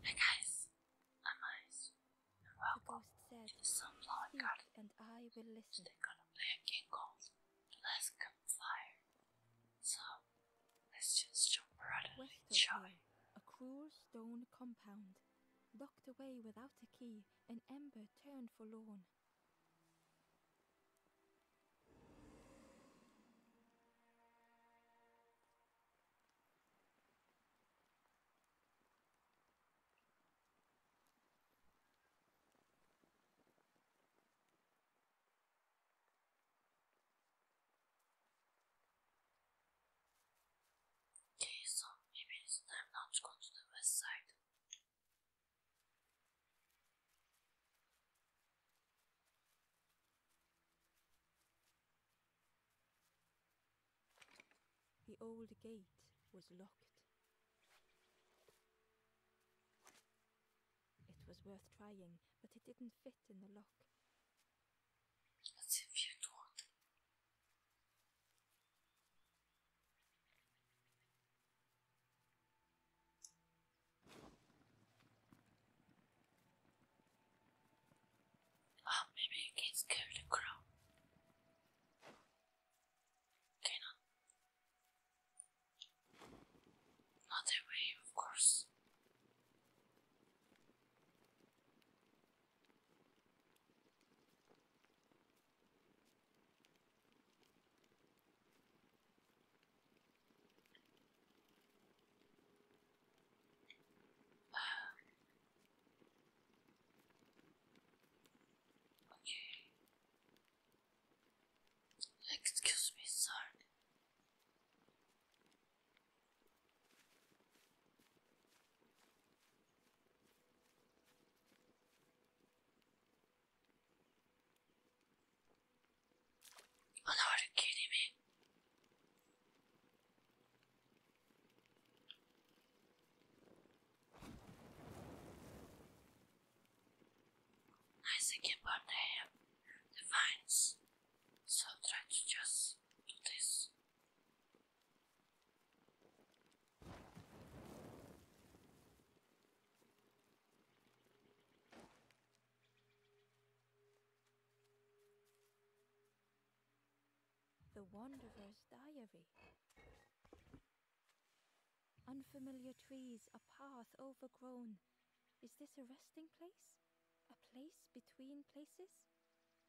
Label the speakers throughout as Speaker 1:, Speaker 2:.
Speaker 1: Hey guys, I'm Ice,
Speaker 2: welcome to the Sunflower Garden. And I will listen. Today gonna play a game
Speaker 1: called Let's fire. So, let's just jump right in West and
Speaker 2: enjoy. Hill, a cruel stone compound, locked away without a key, and Ember turned forlorn.
Speaker 1: Okay, so maybe it's time now to go to the west side.
Speaker 2: The old gate was locked. It was worth trying, but it didn't fit in the lock. That's if you do
Speaker 1: Oh, maybe I can scare the crow. Not that way, of course. Okay. Excuse me, sorry. Oh no, are kidding me? Nice again, but I have the so i to just do this.
Speaker 2: The Wanderer's Diary. Unfamiliar trees, a path overgrown. Is this a resting place? A place between places?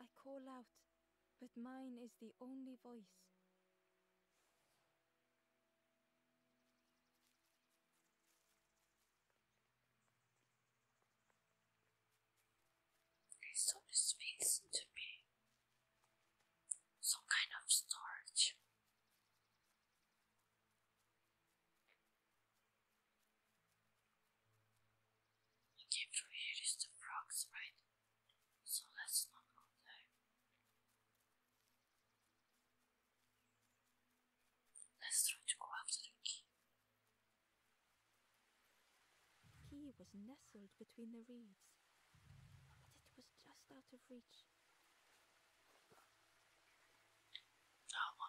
Speaker 2: I call out, but mine is the only voice.
Speaker 1: Okay, so this means to be some kind of storage. Came from here is the frogs, right? So let's not go there.
Speaker 2: Let's try to go after the key. He was nestled between the reeds, but it was just out of reach. Now i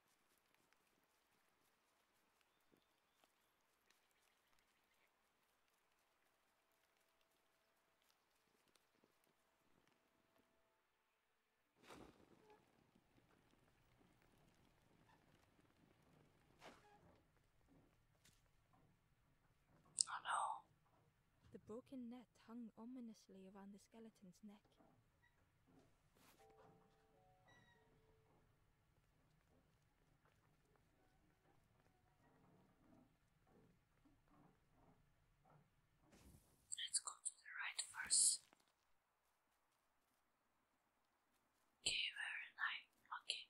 Speaker 2: Oh no. The broken neck hung ominously around the skeleton's neck.
Speaker 1: Let's go to the right first. Okay, very nice. Okay.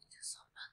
Speaker 1: It is open.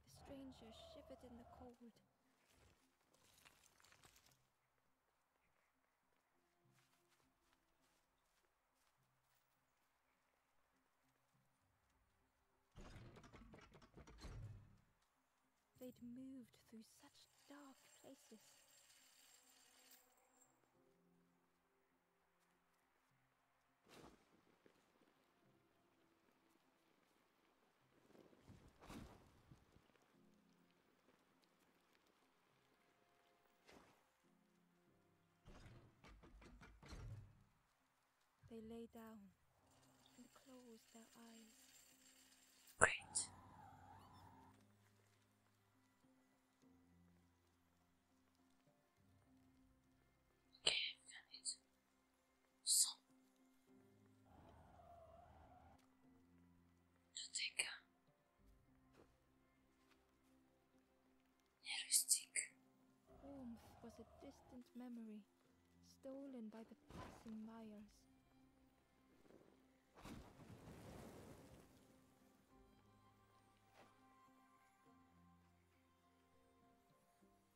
Speaker 2: The stranger shivered in the cold. They'd moved through such dark places. They lay down and close their eyes.
Speaker 1: Great. Okay, i it son dotyka
Speaker 2: Elastic. Warmth was a distant memory, stolen by the passing wires.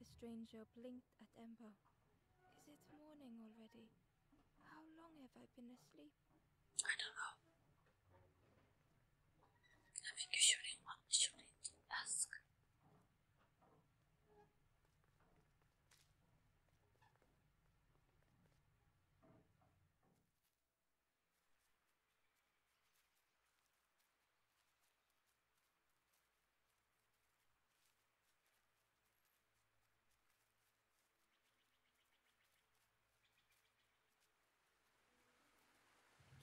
Speaker 2: The stranger blinked at Ember. Is it morning already? How long have I been asleep?
Speaker 1: I don't know. I'm usually should ask.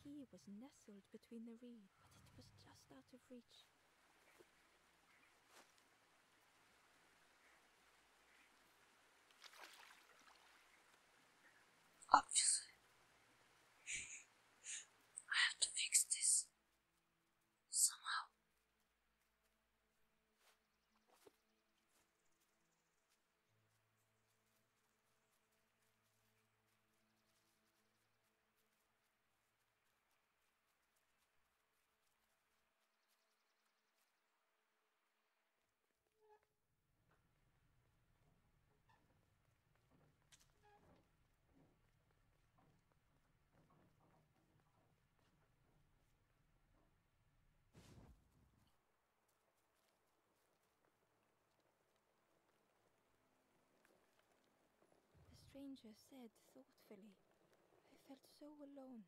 Speaker 2: He was nestled between the reeds, but it was just out of reach.
Speaker 1: Obviously. I have to fix this somehow.
Speaker 2: The stranger said thoughtfully, I felt so alone.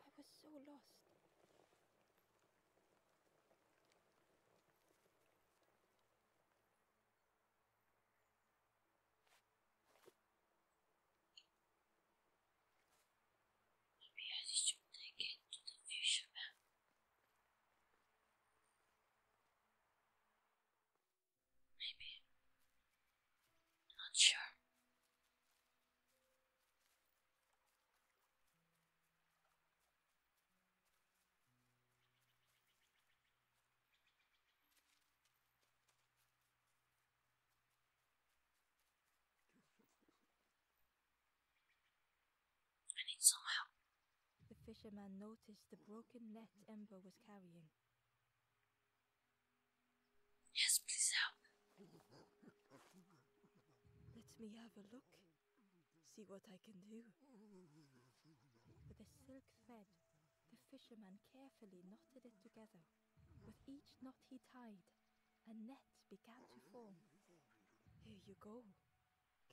Speaker 2: I was so lost.
Speaker 1: Maybe I should take it to the fisherman. Maybe. Not sure. I need some help.
Speaker 2: The fisherman noticed the broken net Ember was carrying.
Speaker 1: Yes, please help.
Speaker 2: Let me have a look. See what I can do. With a silk thread, the fisherman carefully knotted it together. With each knot he tied, a net began to form. Here you go.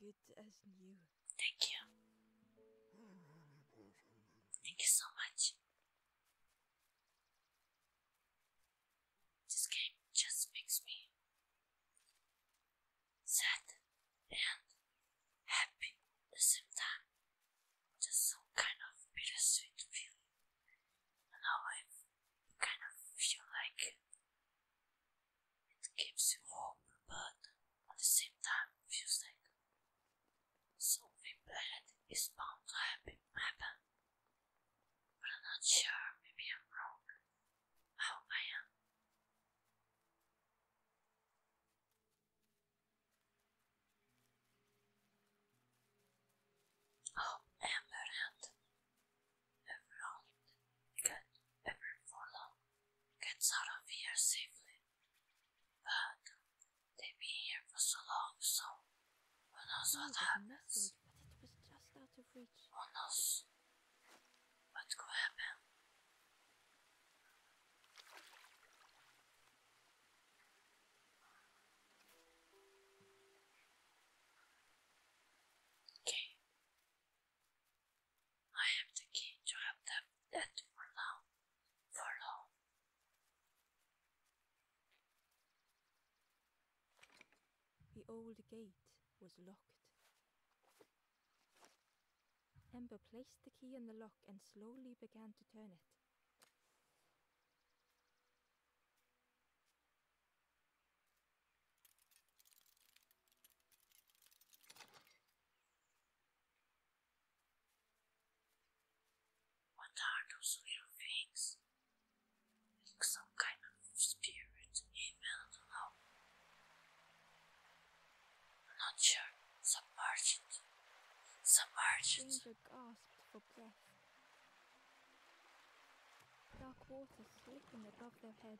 Speaker 2: Good as new. Thank you.
Speaker 1: Thank you so much. This game just makes me sad and happy at the same time. Just some kind of bittersweet feeling. And now I kind of feel like it gives you hope, but at the same time feels like something bad is bound to happen. But I'm not sure, maybe I'm wrong. Oh, I am. Oh, Amber and everyone can ever follow gets out of here safely. But they've been here for so long, so who knows what
Speaker 2: happens? Who
Speaker 1: knows What's going to happen? Okay. I have to have that, that for now. For now.
Speaker 2: The old gate was locked. Ember placed the key in the lock and slowly began to turn it.
Speaker 1: What are those weird things? some kind of spirit, even I am not sure. Submerged. Submerged.
Speaker 2: Ginger gasped for breath. Dark water sleeping above their head.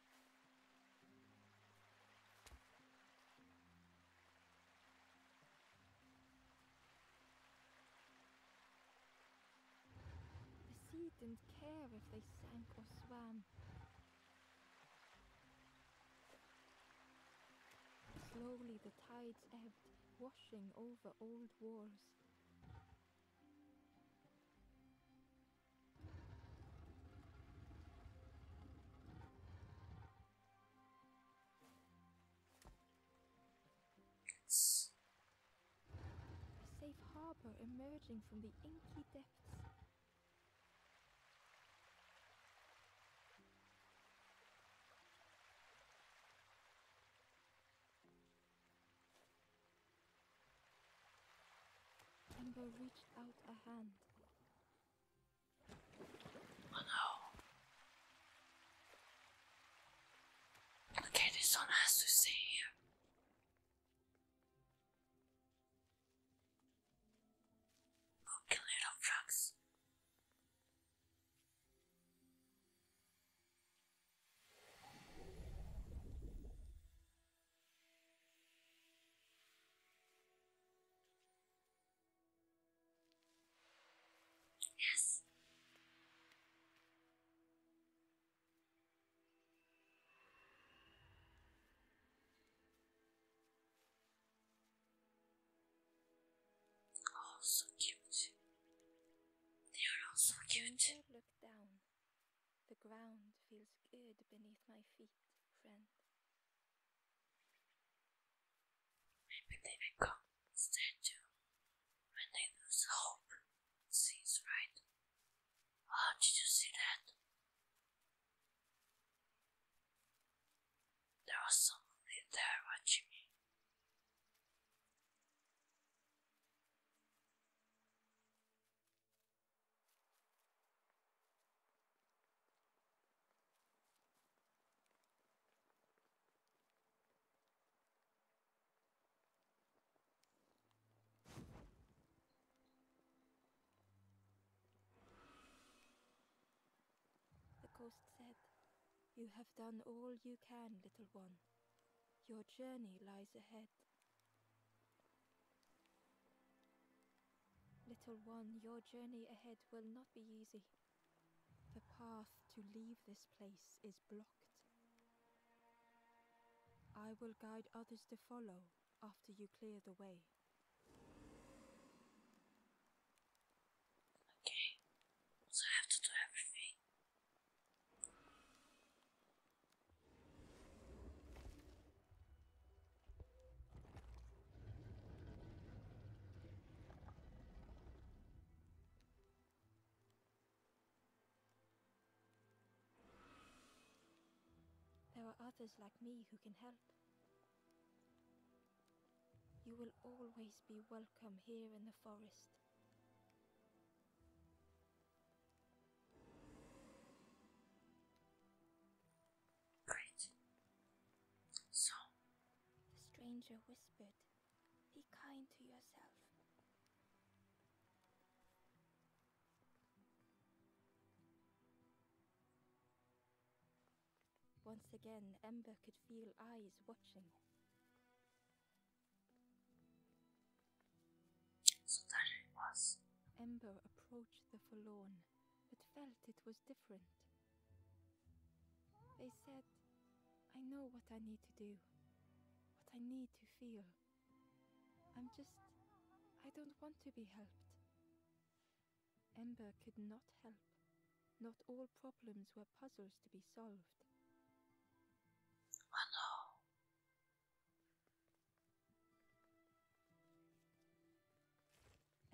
Speaker 2: The sea didn't care if they sank or swam. Slowly the tides ebbed, washing over old walls. It's a safe harbor emerging from the inky depths. I reached out a hand. Oh no.
Speaker 1: Okay, this one has to stay here. Okay, little frogs. Yes. Oh, so cute.
Speaker 2: They are all so cute. Look down. The ground feels good beneath my feet, friend.
Speaker 1: Maybe they become statue when they lose hope. Seems right. How did you see that? There was someone there watching me.
Speaker 2: The ghost said, You have done all you can, little one. Your journey lies ahead. Little one, your journey ahead will not be easy. The path to leave this place is blocked. I will guide others to follow after you clear the way.
Speaker 1: Okay, I have to do everything.
Speaker 2: There are others like me who can help. You will always be welcome here in the forest. Great. So. The stranger whispered, Be kind to yourself. Once again, Ember could feel eyes watching. So there it was. Ember approached the forlorn, but felt it was different. They said, I know what I need to do, what I need to feel. I'm just. I don't want to be helped. Ember could not help. Not all problems were puzzles to be solved. I know.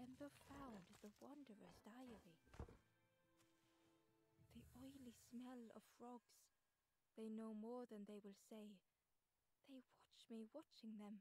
Speaker 2: Ember found the Wanderer's diary. The oily smell of frogs. They know more than they will say. They watch me watching them.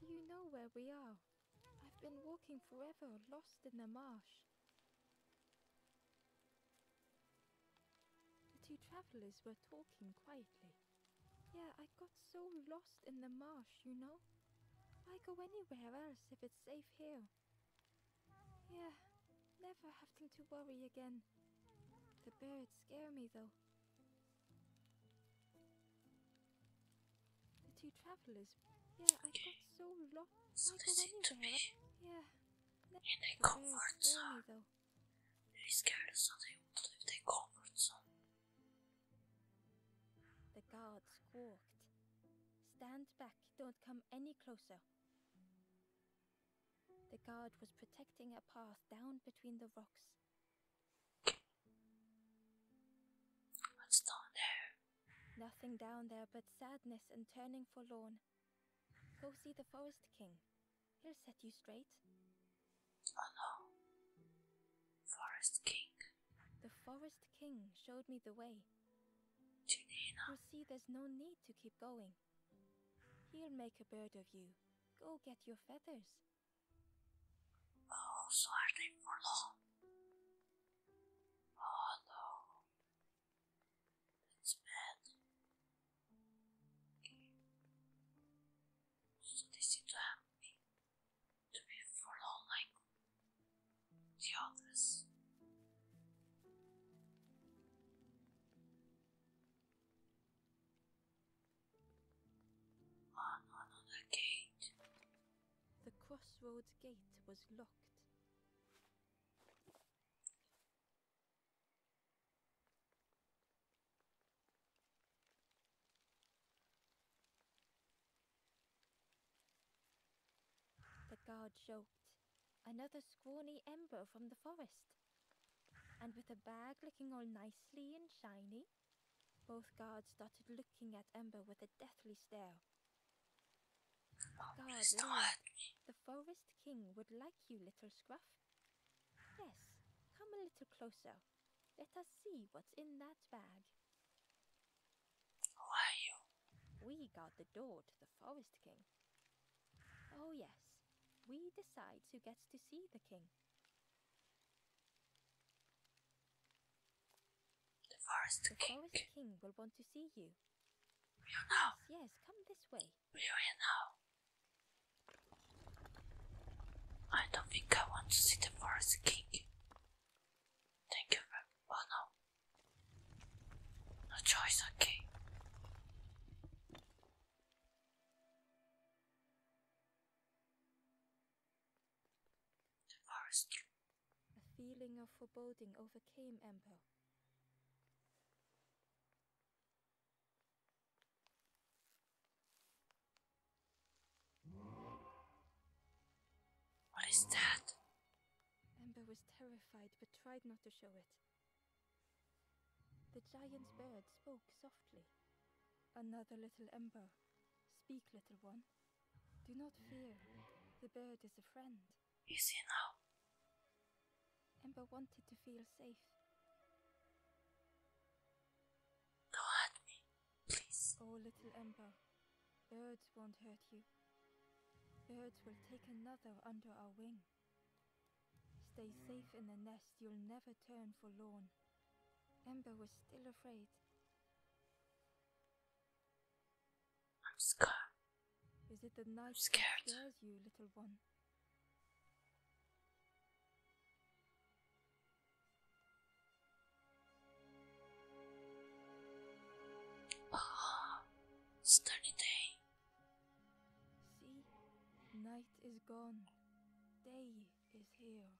Speaker 2: Do you know where we are? I've been walking forever, lost in the marsh. The two travelers were talking quietly. Yeah, I got so lost in the marsh, you know. I go anywhere else if it's safe here? Yeah, never having to worry again. The birds scare me though. The two travelers. Yeah, I got so lost. Why go anywhere? Yeah, in their comfort zone.
Speaker 1: They're scared of something. What if they comfort zone?
Speaker 2: The guards squawked. Stand back, don't come any closer. The guard was protecting a path down between the rocks. Nothing down there but sadness and turning forlorn. Go see the Forest King. He'll set you straight.
Speaker 1: Oh no. Forest King.
Speaker 2: The Forest King showed me the way. Janina. You see, there's no need to keep going. He'll make a bird of you. Go get your feathers.
Speaker 1: Oh, so are they for long? Oh no. That's bad. Okay. So to have me to be followed like the others. Oh, no, gate.
Speaker 2: The crossroads gate was locked. The guard joked. Another scrawny ember from the forest. And with a bag looking all nicely and shiny, both guards started looking at Ember with a deathly stare window. the forest king would like you, little Scruff. Yes, come a little closer. Let us see what's in that bag.
Speaker 1: Who are you?
Speaker 2: We guard the door to the forest king. Oh, yes, we decide who gets to see the king. The forest, the forest king will want to see you. Are now? Yes, come this way.
Speaker 1: We Are you now? I don't think I want to see the forest king. Thank you very well, no. No choice, okay.
Speaker 2: The forest a feeling of foreboding overcame Ember. What is that? Ember was terrified but tried not to show it. The giant bird spoke softly. Another little Ember. Speak, little one. Do not fear. The bird is a friend. You see now? Ember wanted to feel safe. Go at me, please. Oh, little Ember. Birds won't hurt you. Birds will take another under our wing. Stay hmm. safe in the nest, you'll never turn forlorn. Ember was still afraid. I'm scared. Is it the night scared. that scares you, little one?
Speaker 1: Ah, it's day.
Speaker 2: See, night is gone. Day is here.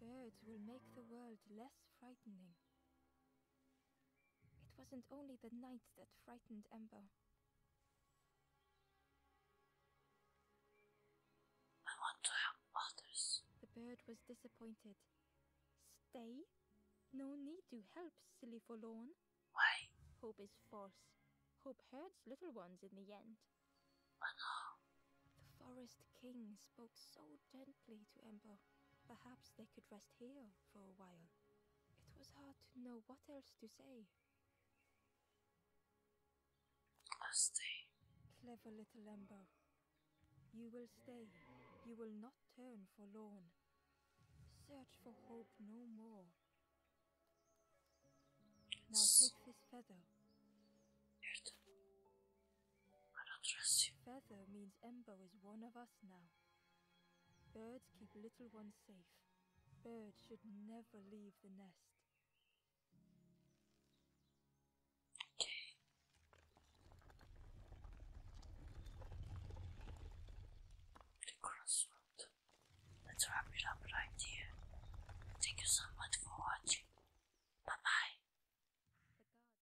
Speaker 2: Birds will make the world less frightening. It wasn't only the night that frightened Ember. I want to help others. The bird was disappointed. Stay? No need to help, silly forlorn. Why? Hope is false. Hope hurts little ones in the end. But no. The forest king spoke so gently gently to Ember. Perhaps they could rest here for a while. It was hard to know what else to say.
Speaker 1: I'll stay.
Speaker 2: Clever little Ember. You will stay. You will not turn forlorn. Search for hope no more. Now take this feather. Nerede? I trust Feather means Embo is one of us now. Birds keep little ones safe. Birds should never leave the nest. Okay.
Speaker 1: The crossroad. Let's wrap it up right here. Thank you so much for watching. Bye bye.